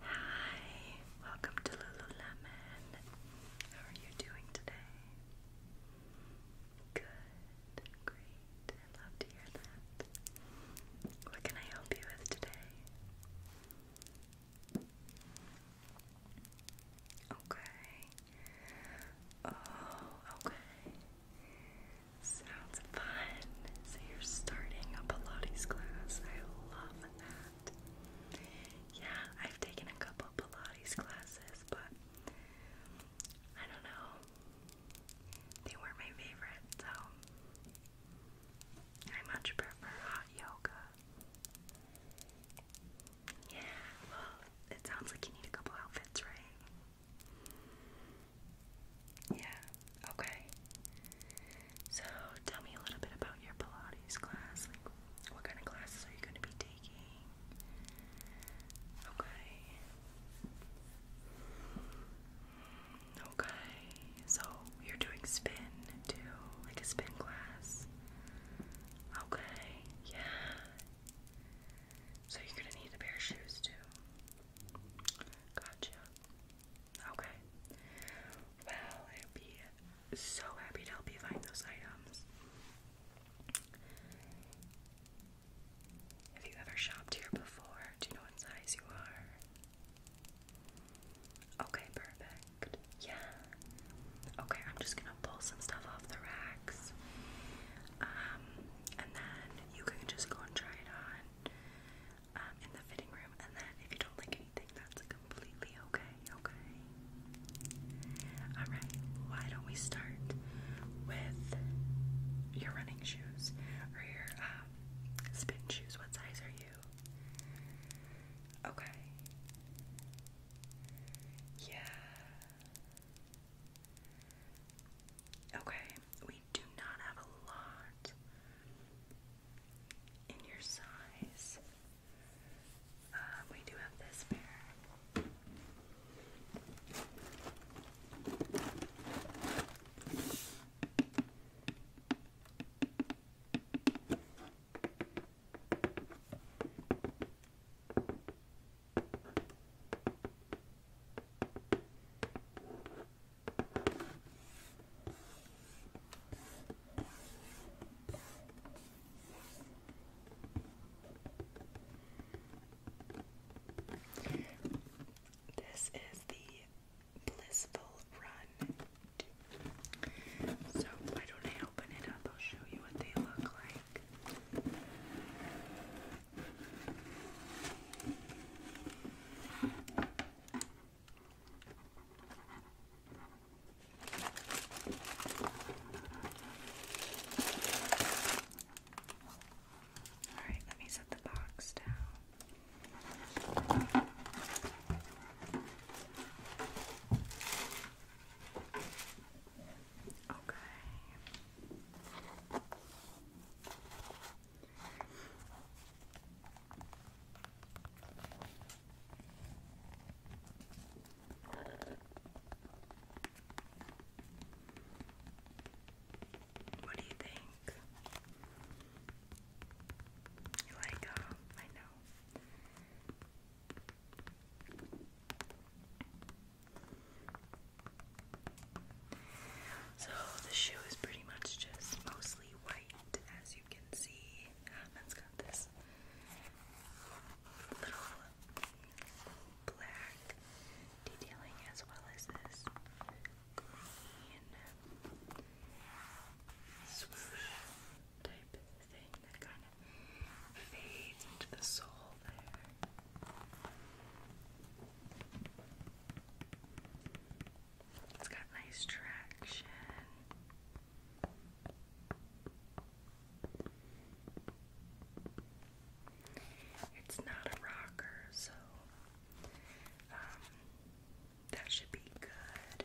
Hi, welcome to Lululemon. How are you doing today? Good, great. I love to hear that. What can I help you with today? Okay. Oh, okay. Sounds fun. So you're starting a Pilates class. I love that. Yeah, I've taken a couple Pilates classes, but I don't know. They weren't my favorite, so I much prefer hot yoga. Yeah, well, it sounds like you need a couple outfits, right? Yeah, okay. So tell me a little bit about your Pilates class. Like, what kind of classes are you going to be taking? Okay. Okay, so you're doing spin too, like a spin class. Okay, yeah. So you're gonna need a pair of shoes too. Gotcha. Okay. Well, I'd be so happy to help you find those items. Have you ever shopped here before? Do you know what size you are? Okay, perfect. Yeah. Okay, I'm just gonna pull some stuff off the racks. Um, and then you can just go and try it on. Um, in the fitting room, and then if you don't like anything, that's completely okay, okay? Alright, why don't we start with your running shoes, or your um, spin shoes? What size are you? Okay. Yeah. Okay, do not have a lot in your size. Uh, we do have this pair. This is the Blissful Run. So, why don't I open it up? I'll show you what they look like. All right, let me set the box down. Okay. What do you think? You like uh, I know. So the shoe is pretty much just mostly white, as you can see. Um, has got this little black detailing as well as this green swoosh type thing that kind of fades into the sole there. It's got nice traction. It's not a rocker, so um, that should be good.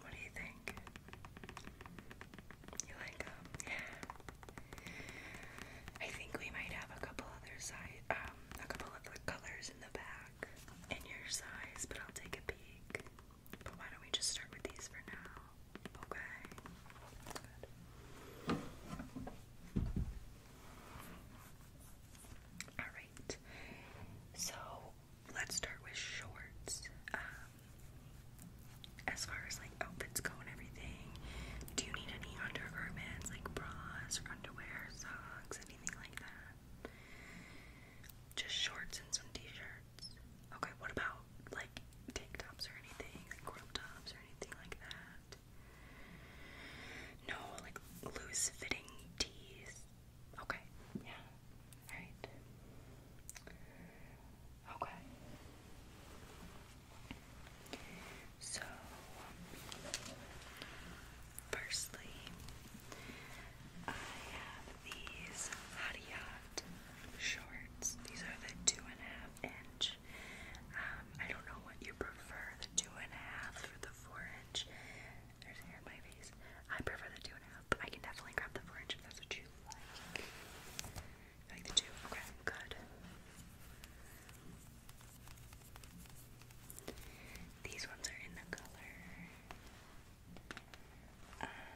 What do you think? You like them? Um, yeah. I think we might have a couple other um, a couple other colors in the back, in your size, but I'll take a peek. But why don't we just start with these for now? Okay. Good. All right. So let's start with shorts. Um, as far as like outfits go and everything, do you need any undergarments, like bras or underwear, socks, anything like that? Just shorts and some t-shirts. Okay, what about like tank tops or anything, crop tops or anything like that? No, like loose fitting tees. Okay, yeah, Right. Okay. So, firstly, I have these Hadiat shorts. These are the two and a half inch. Um, I don't know what you prefer, the two and a half or the four inch. There's hair in my face. I prefer the two and a half, but I can definitely grab the four inch if that's what you like. like the two? Okay, good. These ones are in the color. Um,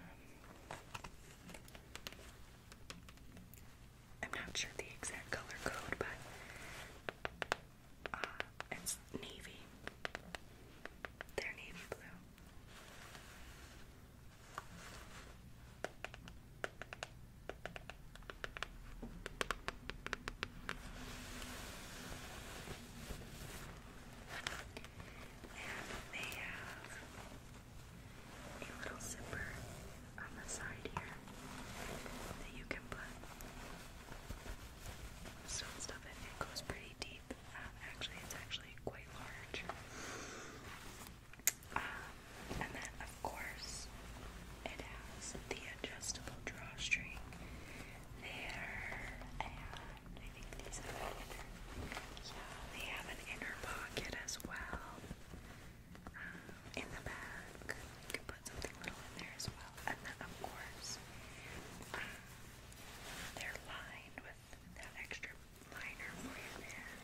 I'm not sure the exact color code, but uh, it's navy. They're navy blue. And they have a little zipper on the side here that you can put stone stuff in. It goes pretty deep. Um, actually, it's actually quite large. Um, and then, of course, it has the adjustable drawstring there, and I think these have an inner. pocket as well. Um, in the back, you can put something little in there as well well. And then, of course, they're lined with that extra liner for you there.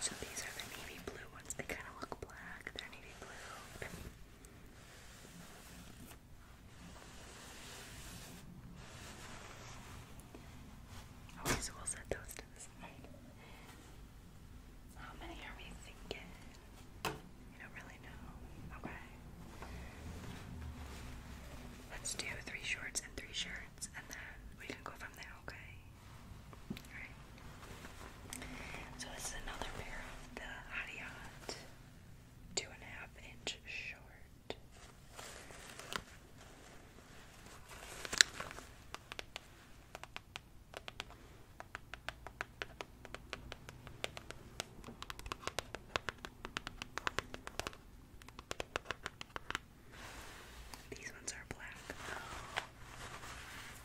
So these are the navy blue ones. They kind of look black. They're navy blue. Always will set those how many are we thinking? You don't really know. Okay. Let's do three shorts and three shirts, and then we can go from there, okay? Alright. So this is another pair of the Hadiat two and a half inch short. These ones are black though.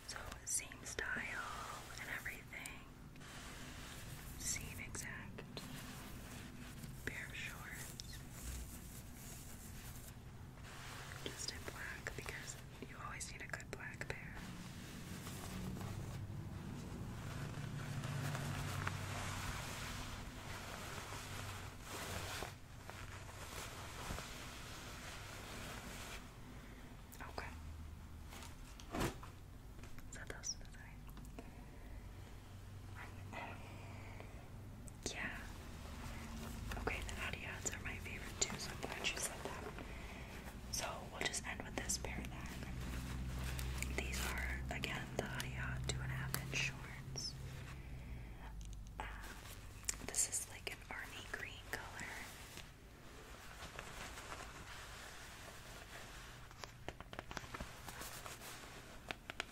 So same style and everything. Same exact pair of shorts. Just in black because you always need a good black pair. Okay. Set those to the side. Yeah. Okay, the naughty are my favorite too, so glad she said that. So we'll just end with this pair then. These are again the naughty two and a half inch shorts. Um, this is like an army green color.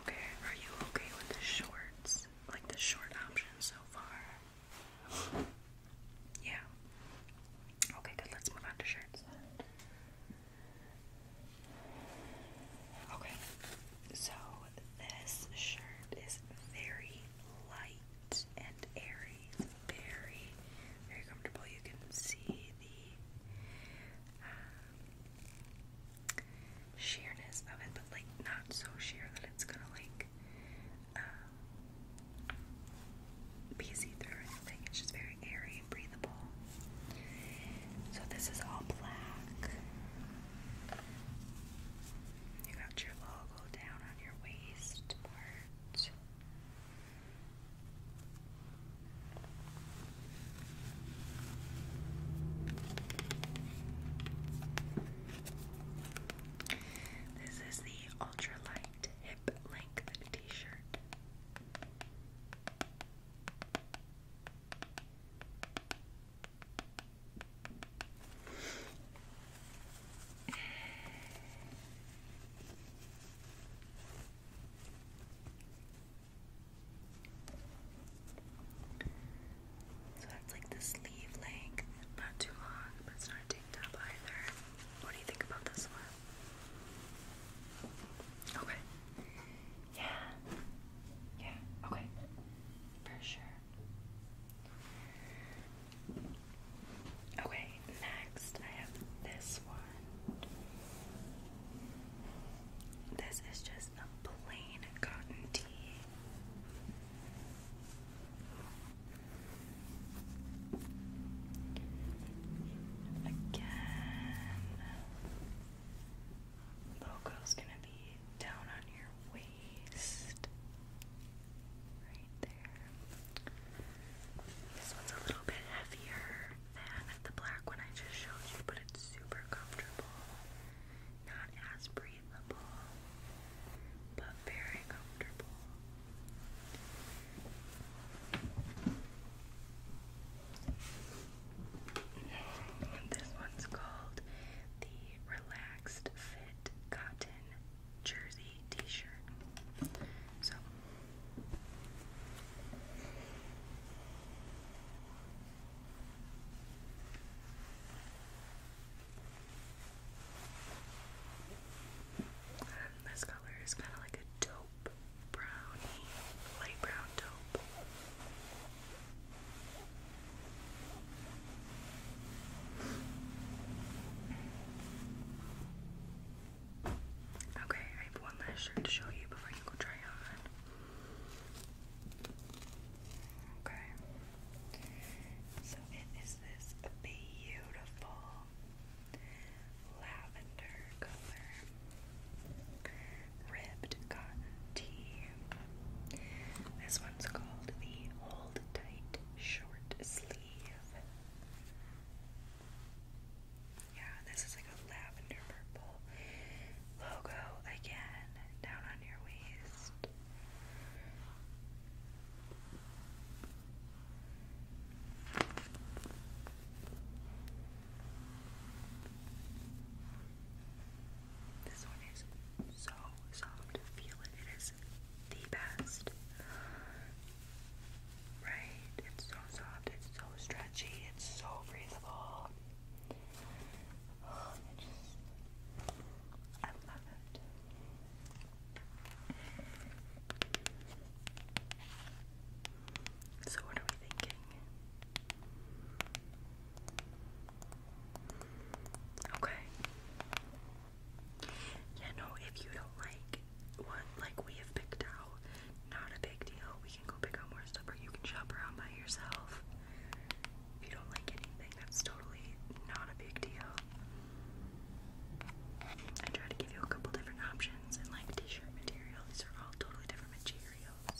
Okay, are you okay with the shorts? Like the short options so far? Yeah. Okay, good. Let's move on to shirts. Okay, so this shirt is very light and airy. very, very comfortable. You can see the sheerness of it, but like not so sheer that it's gonna like um, be see through or anything. It's just very airy and breathable. So this is all black. You got your logo down on your waist part. This is the ultralight hip length t shirt. So that's like the sleeve length. Not too long, but it's not a either. What do you think about this one? Okay. Yeah. Yeah. Okay. For sure. Okay next I have this one. This is just a plain cotton tee. Again, logo's gonna be down on your waist. This one's a little bit heavier than the black one I just showed you, but it's super comfortable. Not as breathable, but very comfortable. this one's called the Relaxed Fit Cotton jersey t-shirt. So um, this color is kind of like a taupe brownie, light brown taupe. Okay, I have one last shirt to show you before you go try on. Okay. So it is this beautiful lavender color ribbed cotton This one's called the Hold Tight Short Sleeve. Yeah, this is like a lavender purple logo again down on your waist. This one is so soft. Feel it. It is the best. Right? It's so soft, it's so stretchy, it's so breathable. Oh, I just, I love it. So, what are we thinking? Okay. Yeah, no, if you don't like what like we have picked out, not a big deal. We can go pick out more stuff or you can shop around by yourself. If you don't like anything, that's totally not a big deal. I try to give you a couple different options and like t-shirt material. These are all totally different materials.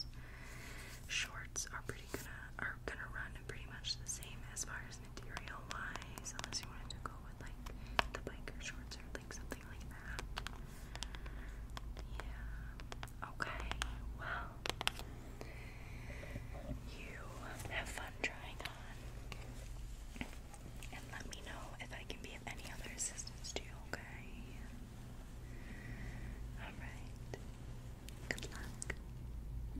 Shorts are pretty gonna are gonna run pretty much the same as far as material wise, unless you wanted to go with like the biker shorts or like something like that. Yeah. Okay. Well, you have fun trying on, and let me know if I can be of any other assistance to you. Okay. All right. Good luck.